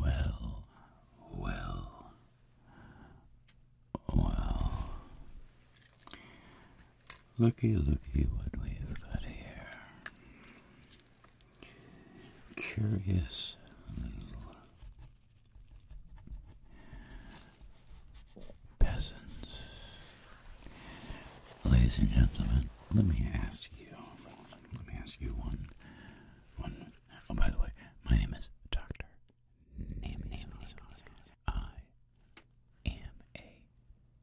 Well, well, well. Looky, looky what we've got here. Curious peasants Ladies and gentlemen, let me ask you. Let me ask you one. One. Oh, by the way, my name is Doctor I am a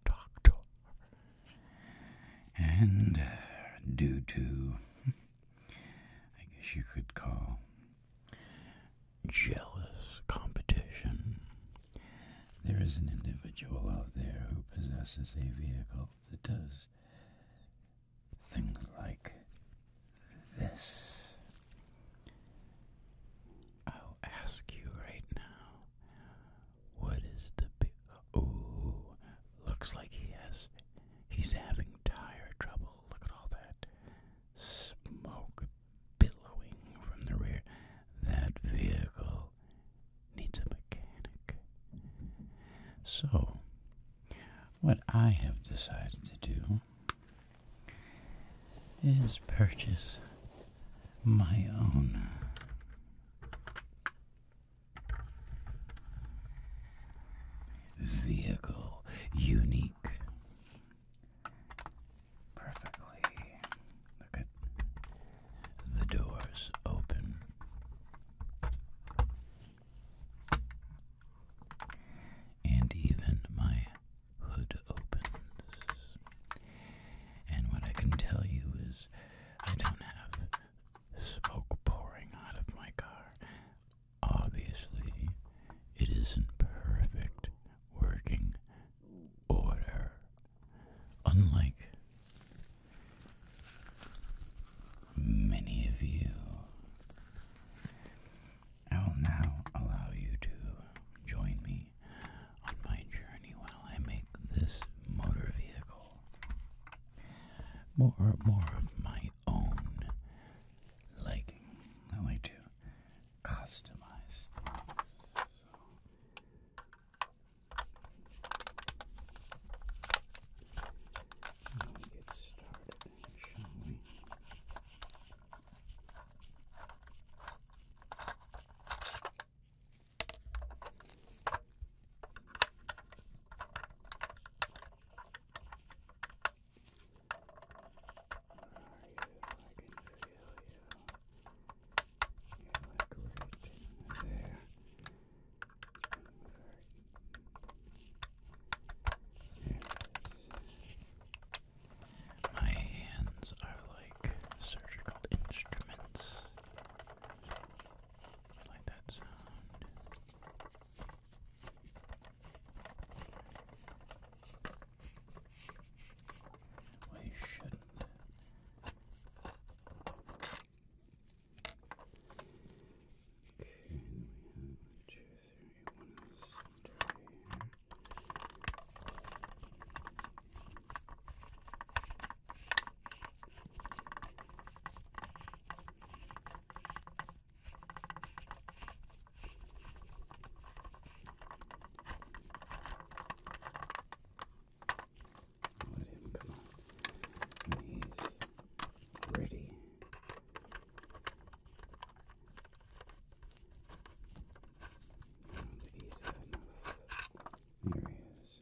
doctor, and uh, due to, I guess you could call jealous competition there is an individual out there who possesses a vehicle that does things like this. I'll ask you right now what is the big. Oh, looks like he has. He's having tire trouble. Look at all that smoke billowing from the rear. That vehicle needs a mechanic. So, what I have decided to do is purchase my own. Vehicle unique. Perfectly. Look at the doors open. And even my hood opens. And what I can tell you is I don't have smoke pouring out of my car. Obviously, it is in perfect working order. Unlike many of you, I will now allow you to join me on my journey while I make this motor vehicle more more of my own liking. I like to customize things. Now we get started, shall we? Where are you? I can feel you. Yeah, like My hands are like surgical instruments. Like that sound. We shouldn't Okay, then we have one, two, three, one on this side over here. Okay, let him come on. And he's ready. I don't think he's had enough. There he is. There he is.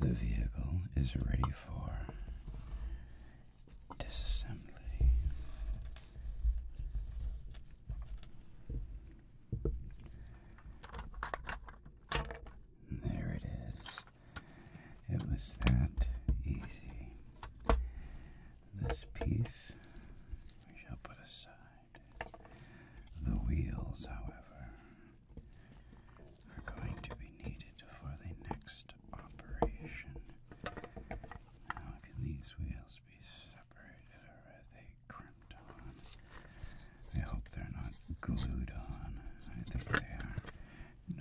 There The vehicle is ready for disassembly. There it is. It was that easy. This piece we shall put aside. The wheels, however, are going to be needed for the next operation. can these wheels be separated or are they crimped on? I hope they're not glued on. I think they are.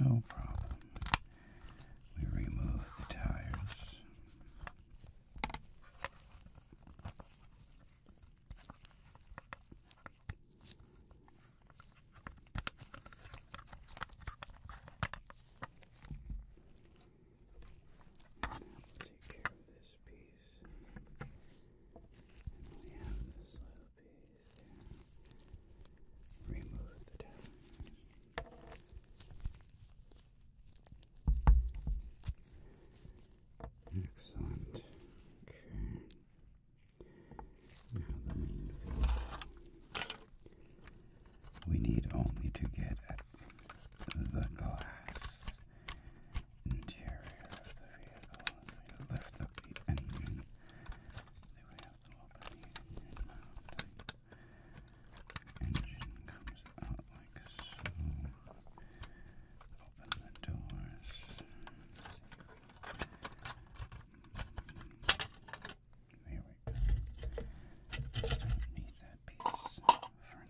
No problem. We remove the tires. Now take care of this piece. And we have this little piece here. Remove the tab. Excellent. Okay. Now the main field. We need only to get at the glass interior of the vehicle. lift up the engine, they would have the engine. engine comes out so. Open the doors. There we go. Just that piece for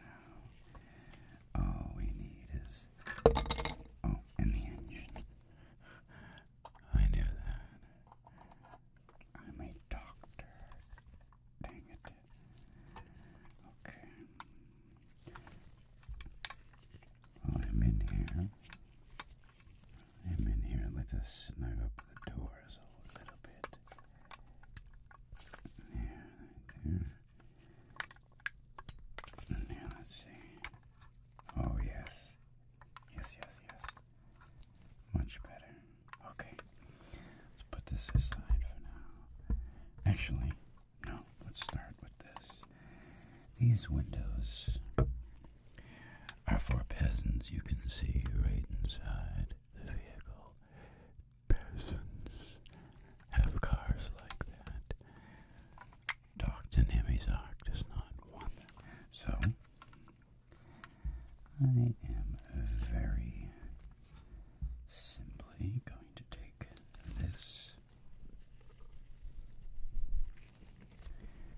now. All we need is oh, and the engine. I knew that. I'm a doctor. Dang it. Okay. Well, I'm in here. I'm in here. Let us snug up the doors a little bit. Yeah, right there. And here, let's see. Oh, yes. Yes, yes, yes. Much better. Okay. Let's put this aside for now. Actually, no, let's start with this. These windows are for peasants. You can see right inside the vehicle. Peasants have cars like that. Dr. Nemizak does not want them. So, I am very simply going to take this.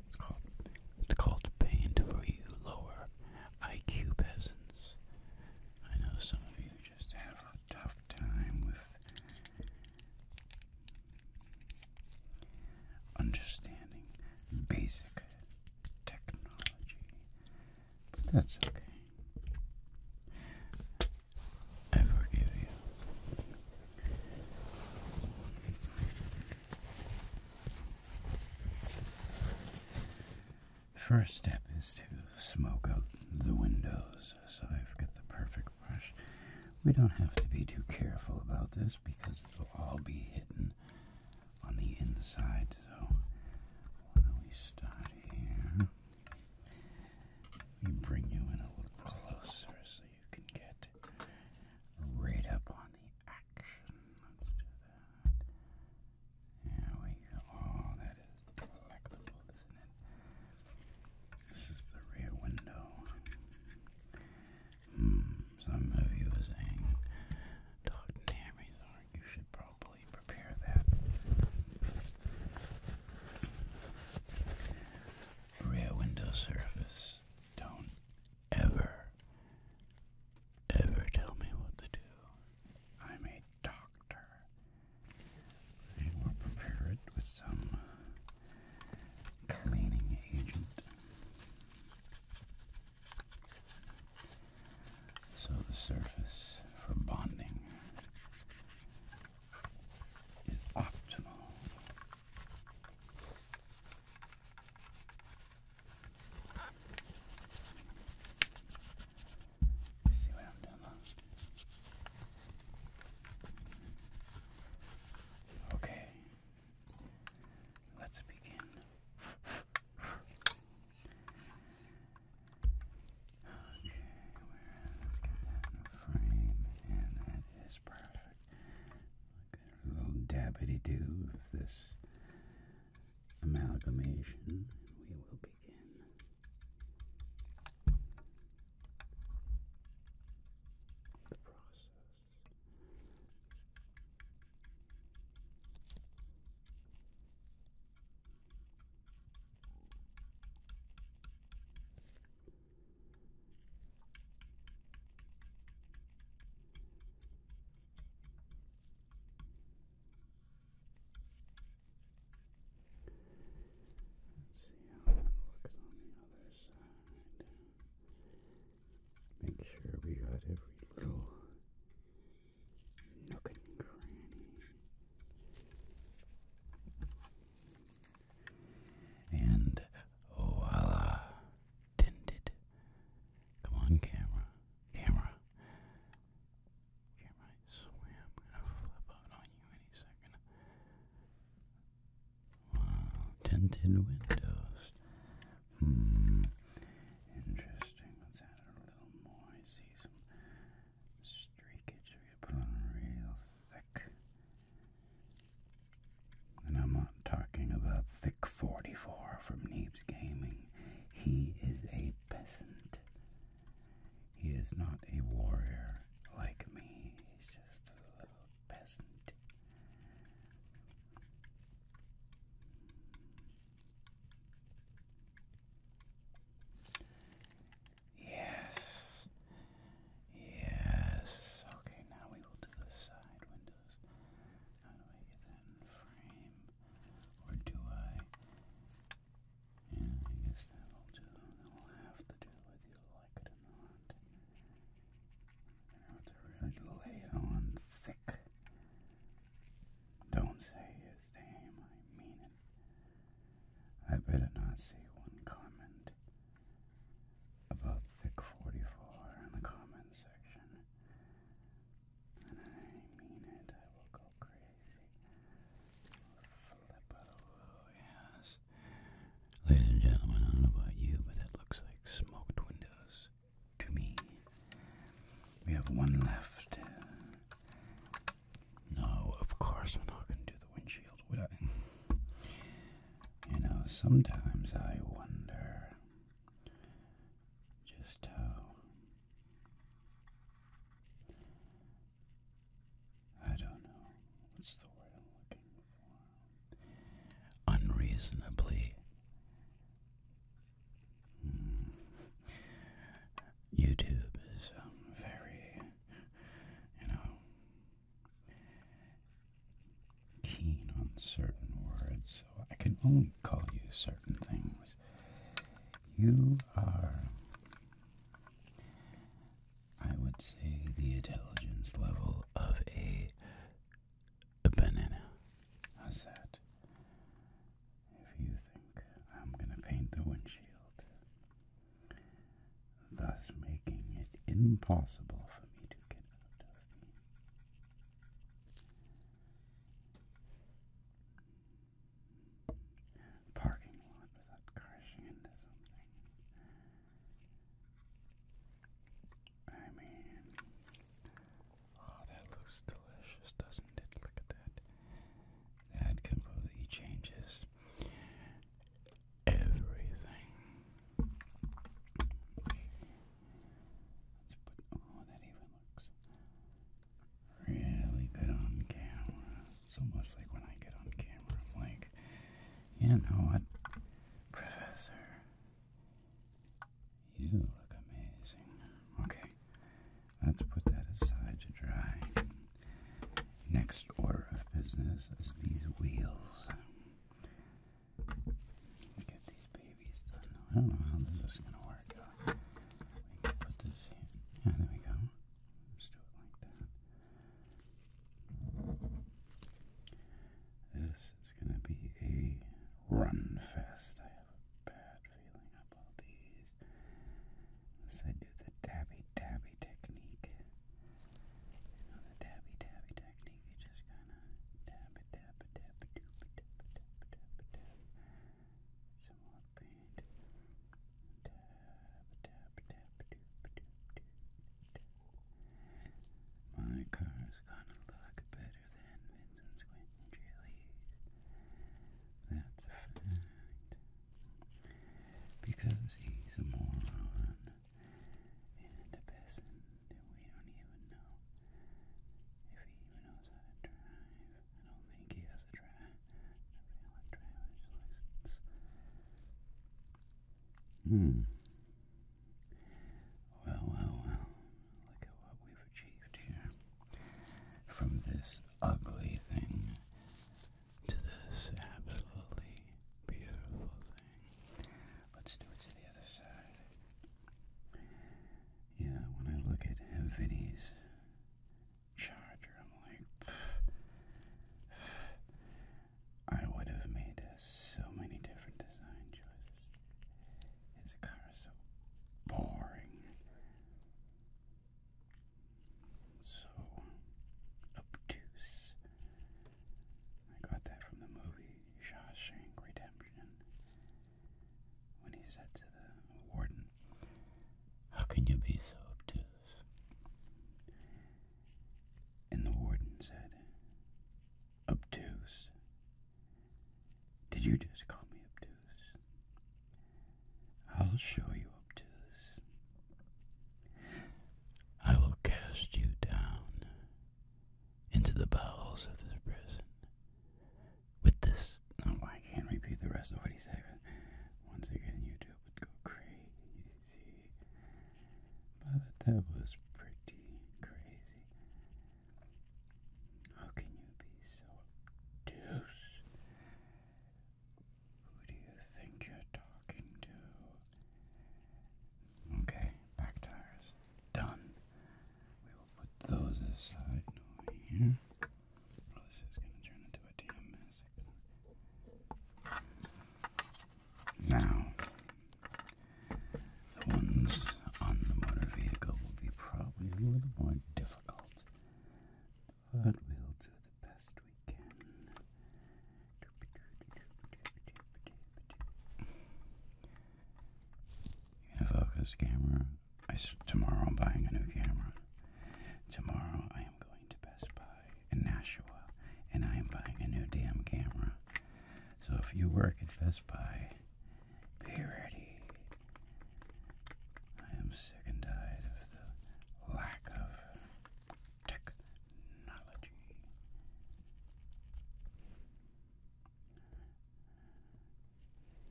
It's called it's called paint for you lower IQ peasants. I know some of you just have a tough time with understanding basic technology that's okay. I forgive you. First step is to smoke out the windows. So I've got the perfect brush. We don't have to be too careful about this because it'll all be hidden on the inside. So why don't we start here? Let me bring you in a little closer so you can get right up on the action. Let's do that. There we go. Oh, that is delectable, isn't it? This is the rear window. Mm, some of you are saying, Dr. Nary's you should probably probably prepare that. Rear window surface. Don't ever, ever tell me what to do. I'm a doctor. we'll prepare it with some cleaning agent. So the surface for bonding is optimal. see what I'm doing? Okay, let's begin. Okay, where let's get that in the frame, and that is perfect. Look at a little dabbity do of this amalgamation, we will begin. The process. Let's see how that looks on the other side. Make sure we got every little nook and cranny. And voila, tinted. Come on, camera, camera, camera. I swear I'm gonna flip out on you any second. Wow, tinted windows. Hmm, interesting. Let's add a little more. I see some streak it put on real thick. And I'm not talking about Thick 44 from Neebs Gaming. He is a peasant. He is not a warrior like me. He's just a little peasant. Yes. Yes. Okay, now we will do the side windows. How do I get that in frame? Or do I? Yeah, I guess that'll do. That'll have to do whether you like it or not. I have to really lay it on thick. Don't say you this I mean it. I better not see one comment about Thick 44 in the comment section. And I mean it, I will go crazy. Oh, yes. Ladies and gentlemen, I don't know about you, but that looks like smoked windows to me. We have one left. No, of course we're not going to do the windshield, would I? You know, sometimes I wonder just how. I don't know. What's the I'm looking for? Unreasonably. Hmm. YouTube is um, very you know, keen on certain words, so I can only call you certain things. You are, I would say, the intelligence level of a, banana. How's that? If you think I'm going to paint the windshield, thus making it impossible for me to get out of here. Parking lot without crashing into something. I mean, oh, that looks delicious, doesn't it? Look at that. That completely changes everything. Let's put oh that even looks really good on camera. It's almost like when I get on camera, like, you know what, Professor? You look amazing. Okay. Let's put that aside to dry. Next order of business is these wheels. Let's get these babies done. I don't know how this is going to work. we can put this here. there we go. let do it like that. This is going to be a run fest. I have a bad feeling about these these. let do the dabby dabby technique. You the dabby dabby technique, you just kind of dab it, dab it, dab it, dab it, dab it, dab it, dab it, dab it. Some more paint. Dab, dab, dab, doop, doop, doop, doop. My car's gonna look better than Vincent's Quentin Jellies. That's a fact because he's a moron and a person that we don't even know if he even knows how to drive. I don't think he has a driver's license. Hmm. Well, well, well. Look at what we've achieved here. From this ugly thing to this absolutely beautiful thing. Let's do it to the other side. Yeah, when I look at Vinny's charger, I'm like, I would have made so many different design choices. His car is so boring. So obtuse. I got that from the movie Shawshank Redemption when he said to the warden, How can you be so obtuse? And the warden said, Obtuse. Did you just call me obtuse? I'll show you obtuse. I will cast you down into the bowels of this prison. With this, oh, I can't repeat the rest of what he said. Once again, YouTube would go crazy. But that was pretty crazy. How can you be so obtuse who do you think you're talking to? Okay, back tires. Done. We will put those aside over here. this is going to turn into a damn mess. Now, the ones on the motor vehicle will be probably a little more difficult. I will do the best we can. Unifocus camera. tomorrow I'm buying a new camera. Tomorrow I am going to Best Buy in Nashua, and I am buying a new damn camera. So if you work at Best Buy, be ready. I am sick and tired of the lack of technology.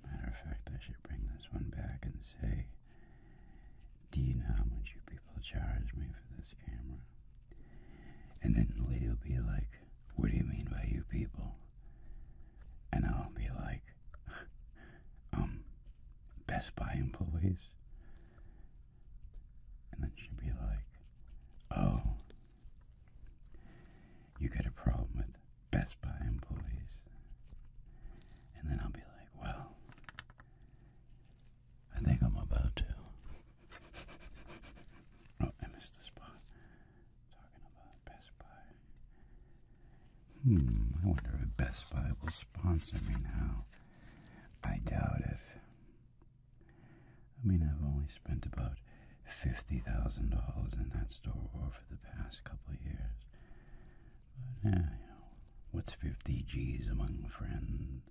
Matter of fact, I should bring this one back and say, Do you know how much you people charge me for this camera? And then the lady will be like, What do you mean by you people? And I'll be like, Um, Best Buy employees? And then she'd be like, oh, you got a problem with Best Buy employees. And then I'll be like, well, I think I'm about to. oh, I missed the spot. Talking about Best Buy. Hmm, I wonder if Best Buy will sponsor me now. I doubt it. I mean, I've only spent about $50,000 in that store over the past couple of years. But, yeah, what's 50 G's among friends?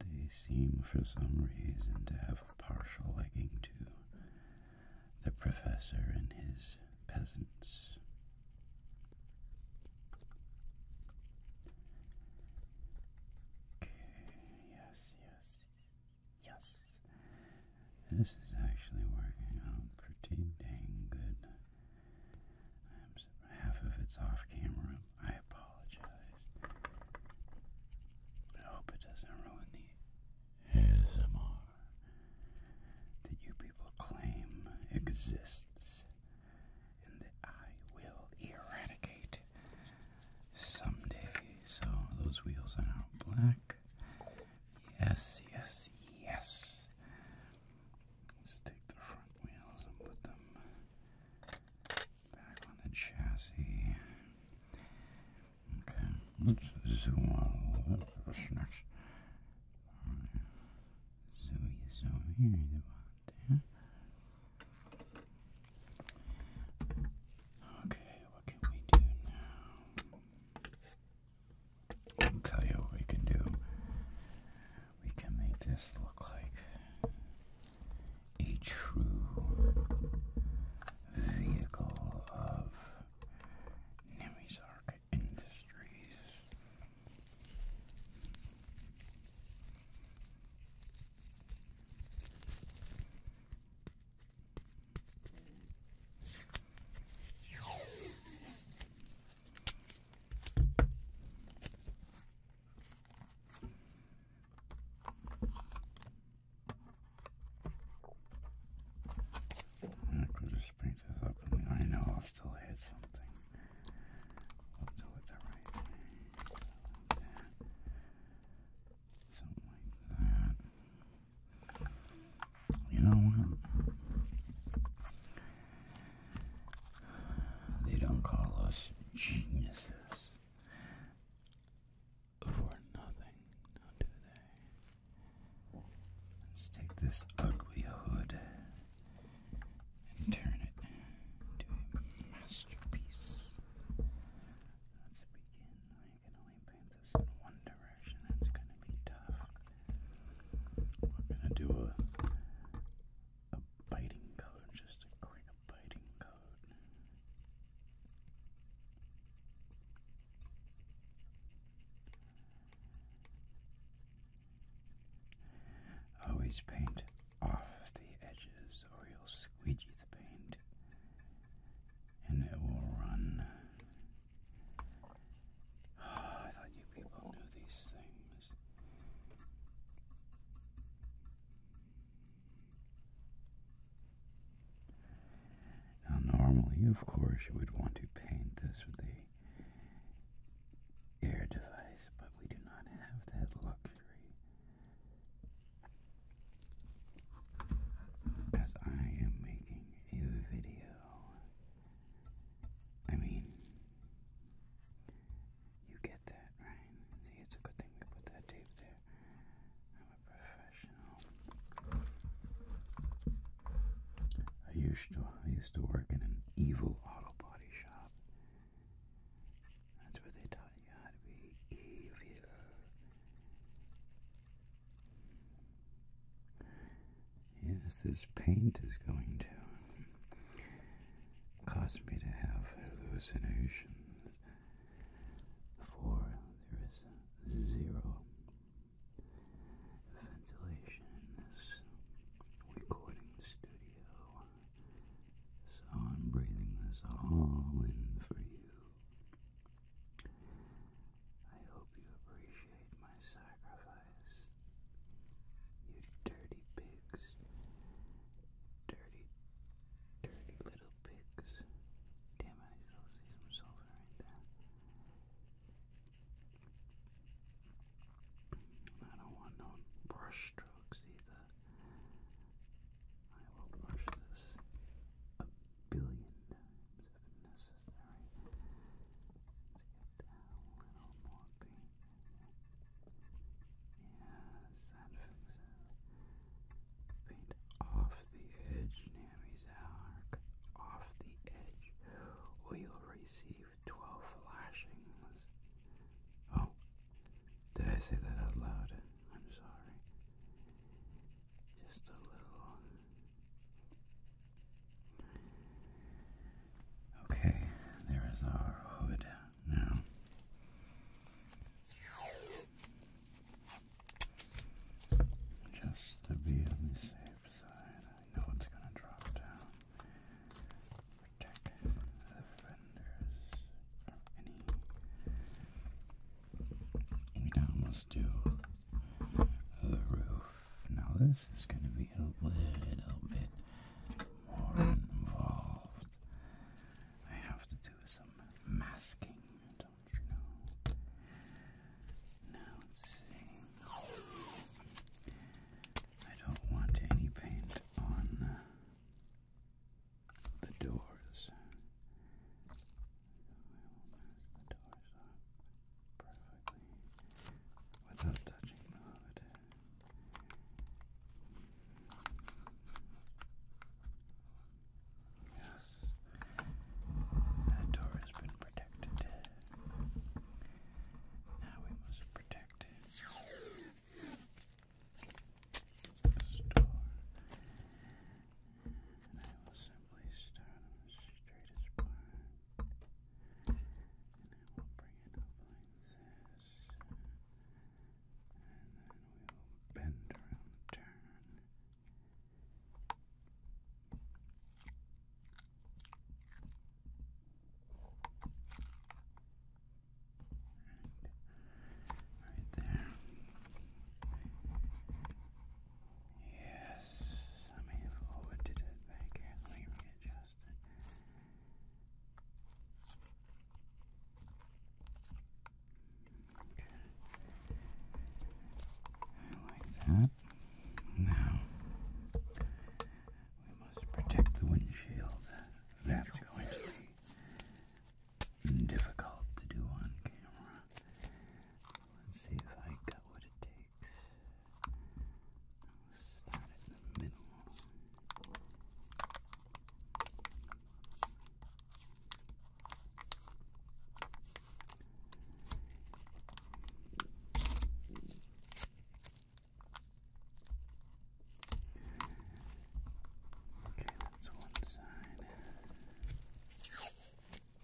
They seem, for some reason, to have a partial liking to the professor and his peasants. Yes, yes, yes. This is actually working out pretty dang good. half of it's off camera. I apologize. I hope it doesn't ruin the ASMR that you people claim exists and that I will eradicate someday. So those wheels are now black. Yes, yes, yes. Let's take the front wheels and put them back on the chassis. Okay, let's zoom in a little bit so you so worried about that. Okay, what can we do now? I'll tell you what we can do. We can make this look like a true vehicle of Nemi's Ark. Industries. Because I know I'll still hit something. I'll still hit the right thing. Something like that. You know what? They don't call us geniuses for nothing, do they? Let's take this ugly hood turn it into a masterpiece. Let's begin. I can only paint this in one direction. It's going to be tough. We're going to do a, a biting code, just a quick biting code. Always paint off the edges or you'll squeegee the paint and it will run. I thought you people knew these things. Now, normally, of course, you would want to paint this with the air device, but we do not have that luxury. As I am making a video, I mean, you get that, right? it's a good thing we put that tape there. I'm a professional. I used to, I used to work in an evil auto body shop. That's where they taught you how to be evil. Yes, this paint is going to cause me to have hallucinations, for there is zero the ventilation in this recording studio. So I'm breathing this all in for you. I hope you appreciate my sacrifice. You dirty pigs. Dirty, dirty little pigs. Damn I still see some silver right there. I don't want no brush strokes either. I will brush this a billion times if necessary. let get that little more paint. Yes, that fixes Paint off the edge, Nami's arc. Off the edge will receive twelve lashings. Oh, did I say that out loud? I'm sorry. Just a little. Okay, there is our hood now. Just to be on the safe side, I know it's going to drop down. We now must do the roof. Now this is going to be a little bit more involved. I have to do some masking, don't you know? Now let's see. I don't want any paint on uh, the doors. So the doors off perfectly without touching the hood. Yes, that door has been protected. Now we must protect Star. And I will simply start on the And I will bring it up like this. And we will bend around the turn. Right there. Yes, let me forward it back here. Let me readjust it. Okay. I like that. Now we must protect the windshield. That's going to be difficult to do on camera. Let's see if I got what it takes. start in the middle. Okay, that's one side. This is going to be the other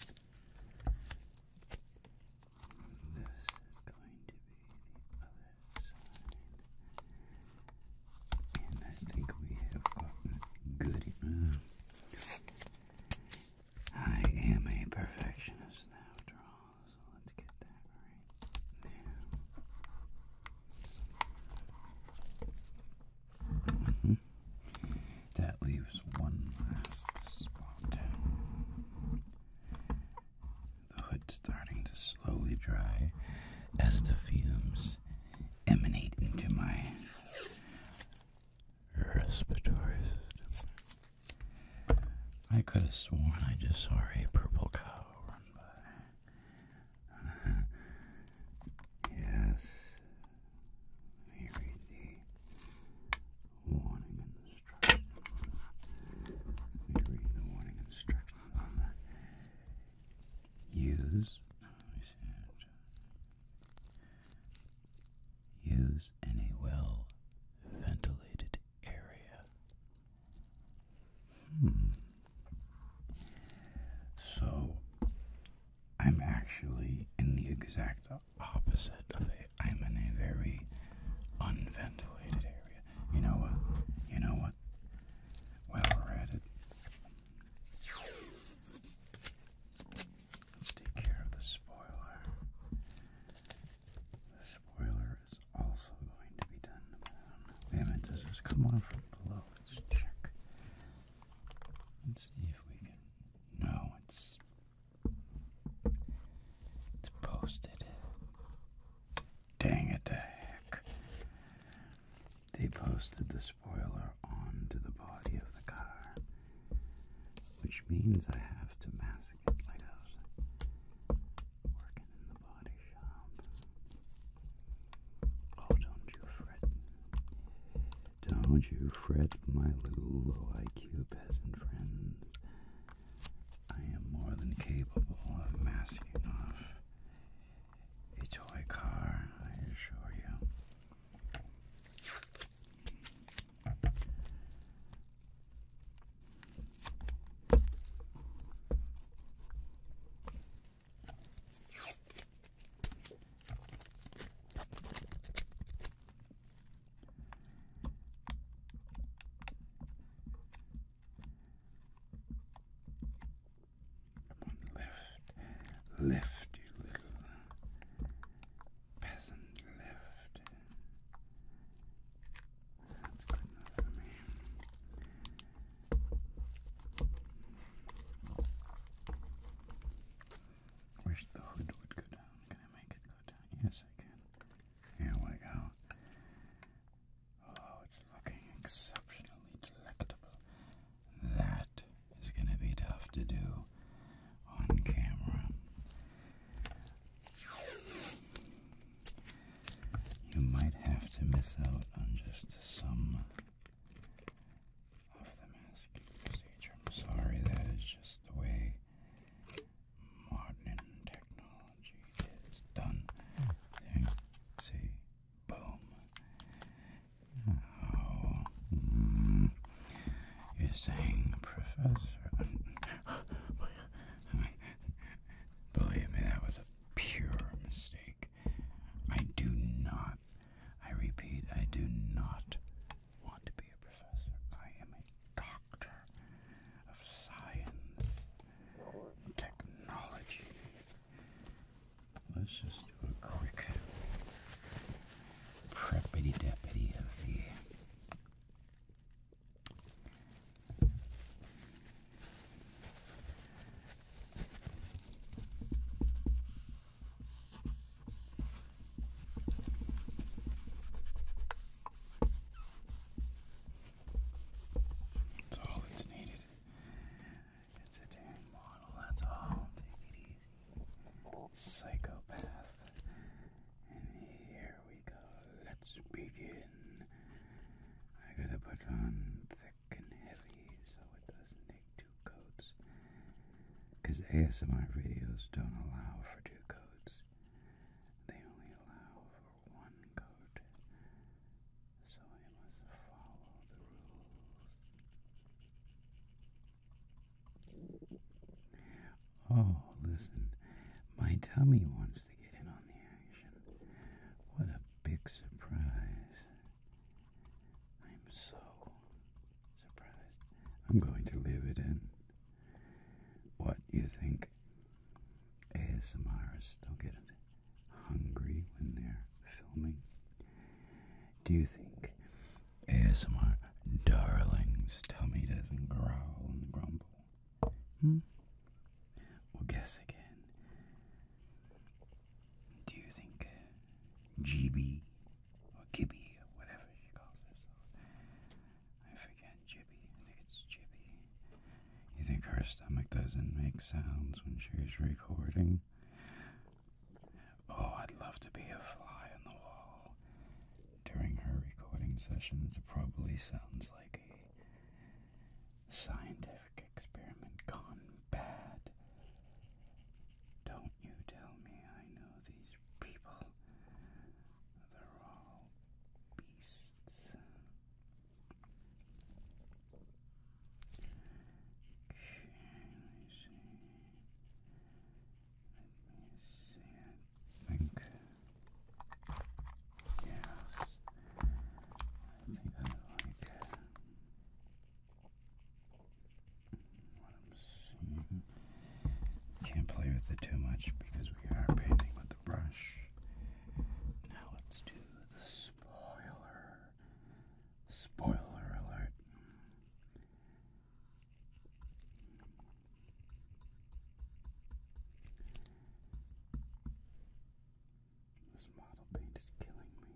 side. And I think we have gotten good mm, I am a perfectionist now, after all. So let's get that right now. That leaves one last spot. The hood's starting to slowly dry as the fumes emanate into my respiratory system. I could have sworn I just saw a purple cow run by. yes. Let me read the warning instructions. Let me read the warning instructions Use. Use in a well ventilated area. Hmm. So, I'm actually in the exact opposite of it. I'm in a very unventilated area. You know what? You know what? Well, we're it. Let's take care of the spoiler. The spoiler is also going to be done. Damn it, minute, this come on from below? Let's check. Let's see if we can. No, it's. It's posted. Dang it to heck. They posted the spoiler onto the body of the car, which means I have to mask working in the body shop. Oh, don't you fret. Don't you fret, my little low IQ peasant friends. I am more than capable of masking off a toy car, I assure you. Come left, left, you little peasant, left. That's good enough for me. Wish the hood would go down. Can I make it go down? Yes, I can. Here we go. Oh, it's looking exceptionally delectable. That is going to be tough to do on camera you might have to miss out on just some of the masking procedure. sorry, that is just the way modern technology is done. see, boom. Now, hmm, you're saying, Professor. Believe me, that was a pure mistake. I do not, I repeat, I do not want to be a professor. I am a doctor of science, technology. Let's just do a quick preppity deputy of the that's all that's needed. It's a damn model, that's all. Take it easy. Psychopath. And here we go. Let's begin. I gotta put on thick and heavy so it doesn't take two coats. Because ASMR videos don't allow for two coats, they only allow for one coat. So I must follow the rules. Oh, listen, my tummy wants what a big surprise. I'm so surprised. I'm going to live it in. What, do you think ASMRs don't get hungry when they're filming? Do you think ASMR darling's tummy doesn't growl and grumble? Hmm? Well, guess again. Do you think uh, GB or Gibby or whatever she calls herself? I forget Gibby. I think it's Gibby. You think her stomach doesn't make sounds when she's recording? Oh, I'd love to be a fly on the wall. During her recording sessions, it probably sounds like a scientific experiment gone bad. Don't you tell me I know these people. They're all beasts. Okay, let me see. Let me see. I think. Yes. I think I like uh, what I'm seeing. Can't play with it too much because we are painting with the brush. Now let's do the spoiler. Spoiler alert. This model paint is killing me.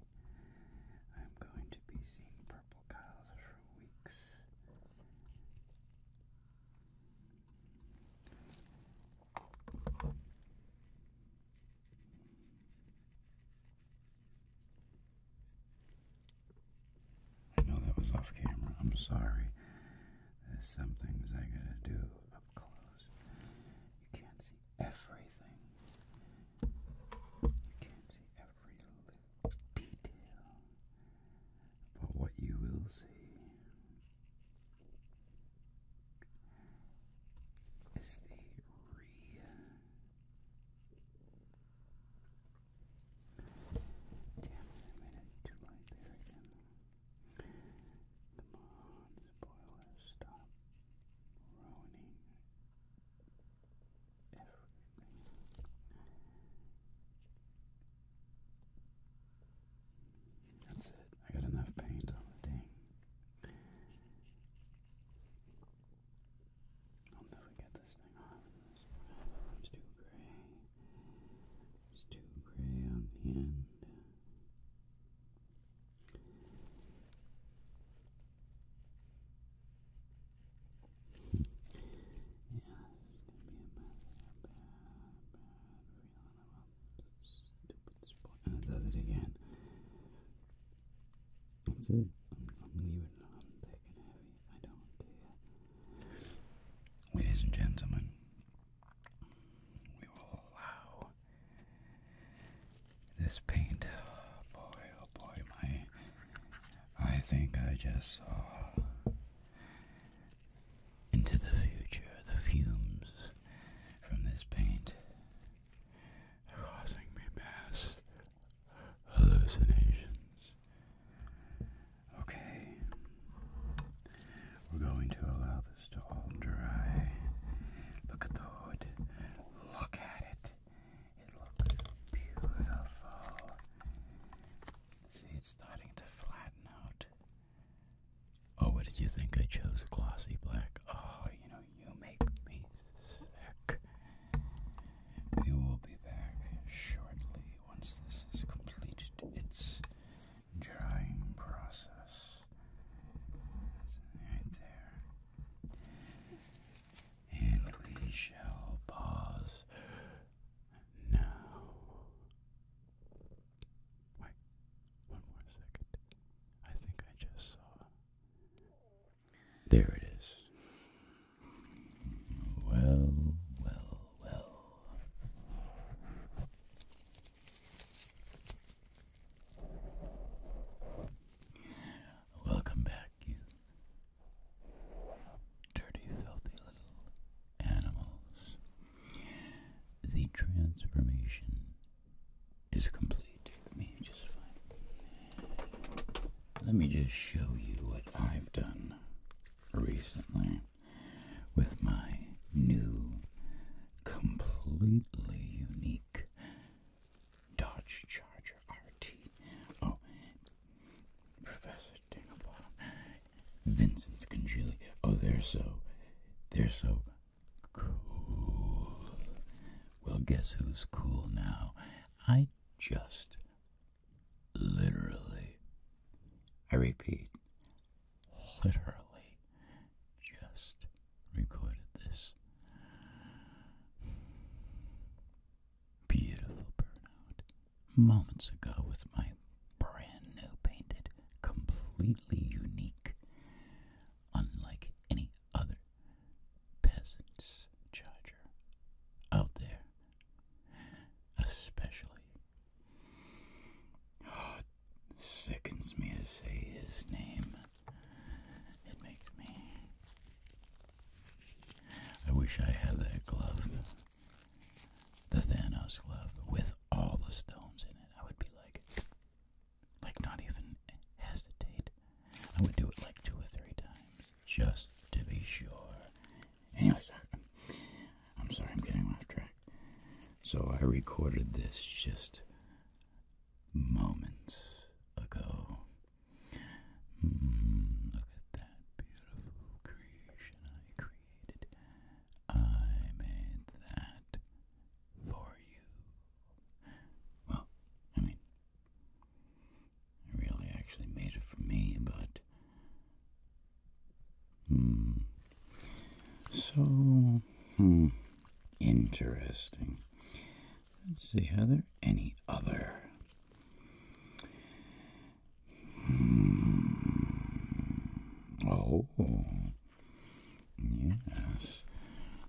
I'm going to be seeing purple clouds for weeks. I know that was off camera. I'm sorry. There's some things I gotta do close. You can't see everything. You can't see every little detail. But what you will see is the re Damn, I made it too light there again. Come on, spoiler, stop ruining everything. That's it. I got enough paint on the I'll never get this thing off. It's too gray. It's too gray on the end stupid spot. And it does it again. That's it. I'm, I'm leaving heavy. I don't care. Ladies and gentlemen, we will allow this paint. Oh boy, oh boy, my. I think I just saw into the future the fumes from this paint are causing me mass hallucinations. Okay. We're going to allow this to all dry. Look at the hood. Look at it. It looks beautiful. See, it's starting to flatten out. Oh, what did you think? I chose glossy black. Oh, you know, you make me sick. We will be back shortly once this is completed its drying process. Right there. And we shall pause now. one more second. I think I just saw. There it is. Well, well, well. Welcome back, you dirty, filthy little animals. The transformation is complete. Let me just find. Let me just show you what I've done recently with my new completely unique Dodge Charger RT. Oh, Professor Dinglebottom, Vincent's Congealy. Oh, they're so, they're so cool. Well, guess who's cool now? I just literally, I repeat, literally just recorded this. Beautiful burnout. Moments ago with my brand new painted, completely unique, unlike any other peasant's charger out there. Especially. Oh, sickens me to say his name. It makes me. I wish I had that glove, the Thanos glove, with all the stones in it. I would be like, like not even hesitate. I would do it like two or three times just to be sure. Anyways, I'm sorry, I'm getting off track. So I recorded this just moments ago. Mm, look at that beautiful creation I created. I made that for you. Well, I mean, I really actually made it for me, but. Mm, so, hmm. Interesting. Let's see, are there any other? Hmm. Oh, yes.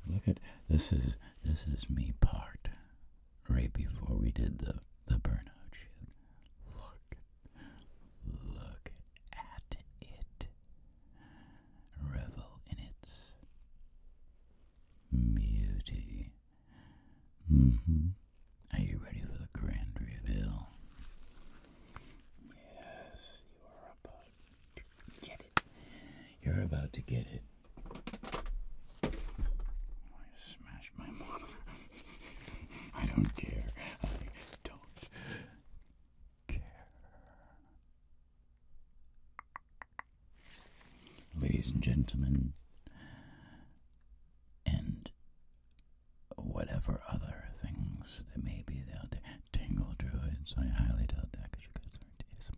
Look at this is this is me part right before we did the the burnout Look, look at it revel in its beauty. Mm-hmm. Are you ready for the grand reveal? Yes, you are about to get it. You're about to get it. I smashed my monitor. I don't care. I don't Ladies and gentlemen, and whatever other things that may be out there, tingle druids, I highly doubt that because you guys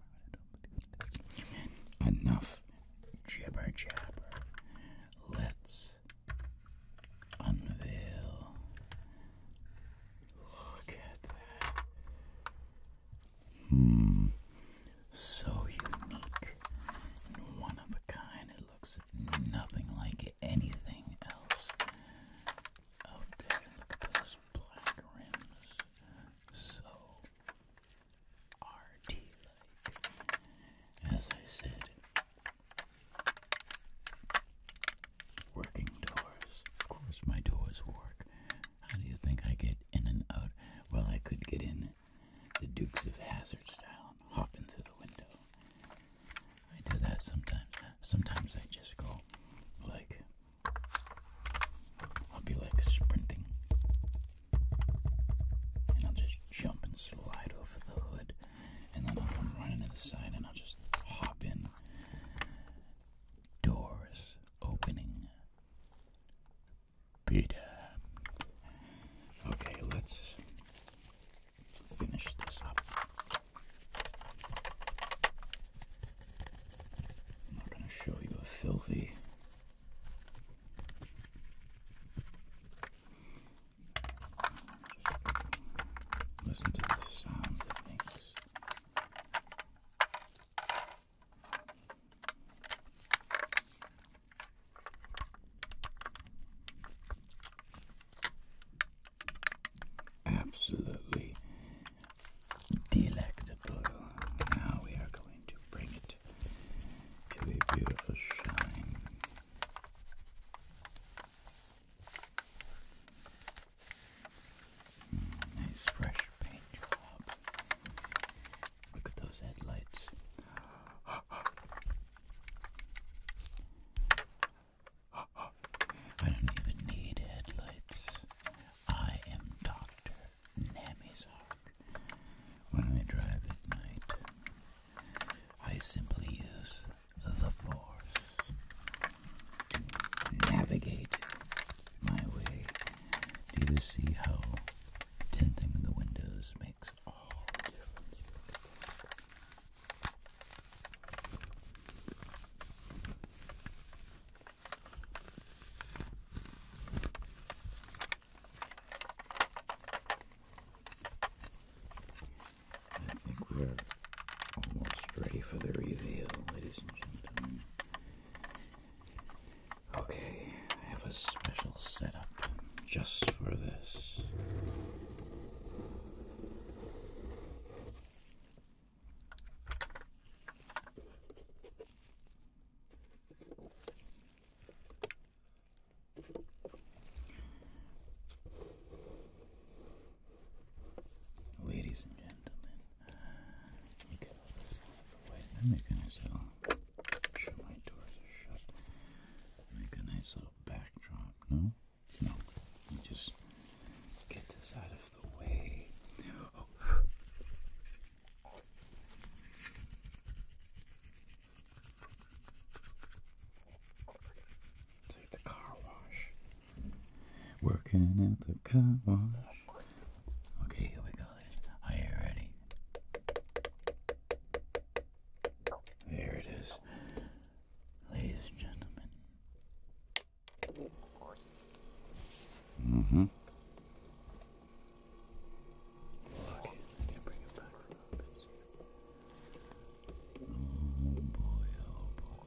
aren't ASMR Enough jibber jabber. Let's unveil Look at that. Hmm. So unique one of a kind. It looks nothing like anything else out oh, there. Look at those black rims. So arty like. As I said, Working doors. Of course, my doors work. How do you think I get in and out? Well, I could get in the Dukes of Hazard style and through the window. I do that sometimes. Sometimes I just go like I'll be like sprinting, and I'll just jump and slide over the hood, and then I'll come running to the side, and I'll just hop in. Doors opening. Peter. Okay, let's finish this up. I'm not going to show you a filthy. listen to the sound that makes. Absolutely delectable. Now we are going to bring it to a beautiful shine nice fresh paint job. Look at those headlights. I don't even need headlights. I am Dr. Namizark. When I drive at night, I simply use the force navigate my way do you see how tinting the windows makes all the difference I think we're almost ready for the reveal, ladies and gentlemen. Okay, I have a special setup just for this. Ladies and gentlemen, We'll get make a nice little. Make a nice little backdrop. No, no. just get this out of the way. It's like the car wash. Working at the car wash. Okay, here we go. Are you ready? There it is. Ladies and gentlemen. Mm-hmm. Okay, let me bring it back Oh boy, oh boy.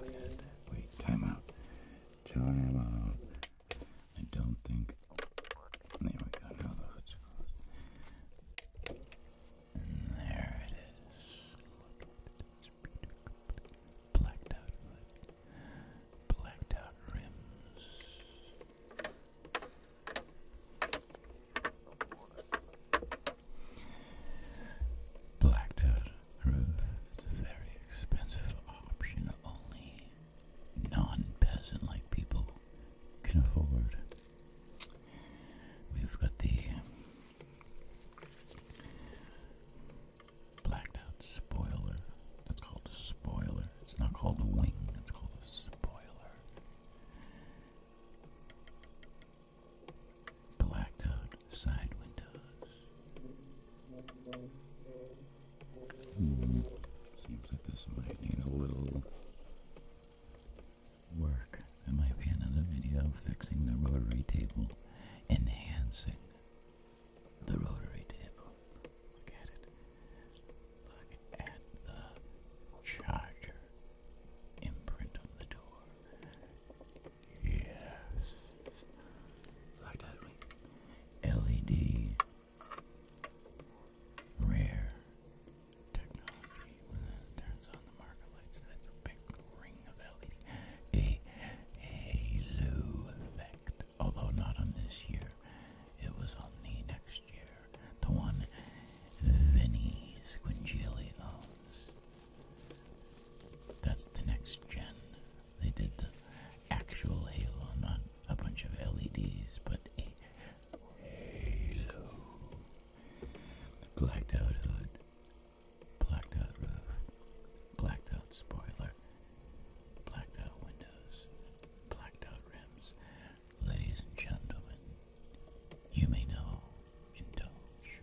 Look at Wait, time out. I don't think. There we go. Now the hood's closed. And there it is. blacked out hood, blacked out rims. Blacked out it's a very expensive option only non-peasant like people can afford. We've got the blacked out spoiler. That's called a spoiler. It's not called a wing, it's called a spoiler. Blacked out side windows. Seems like this might need a little work. There might be another video fixing the rotary table, enhancing the rotary table. Look at it. Look at the charger imprint on the door. Yes. Like that. LED rare technology. When it turns on the marker lights, that's a big ring of LED. A halo effect. Although not on this year, it was on the next year. The one Vinny Squingeli owns. That's the next gen. They did the actual halo, not a bunch of LEDs, but halo. Blacked out hood, blacked out roof, blacked out spoiler, blacked out windows, blacked out rims. Ladies and gentlemen, you may now indulge.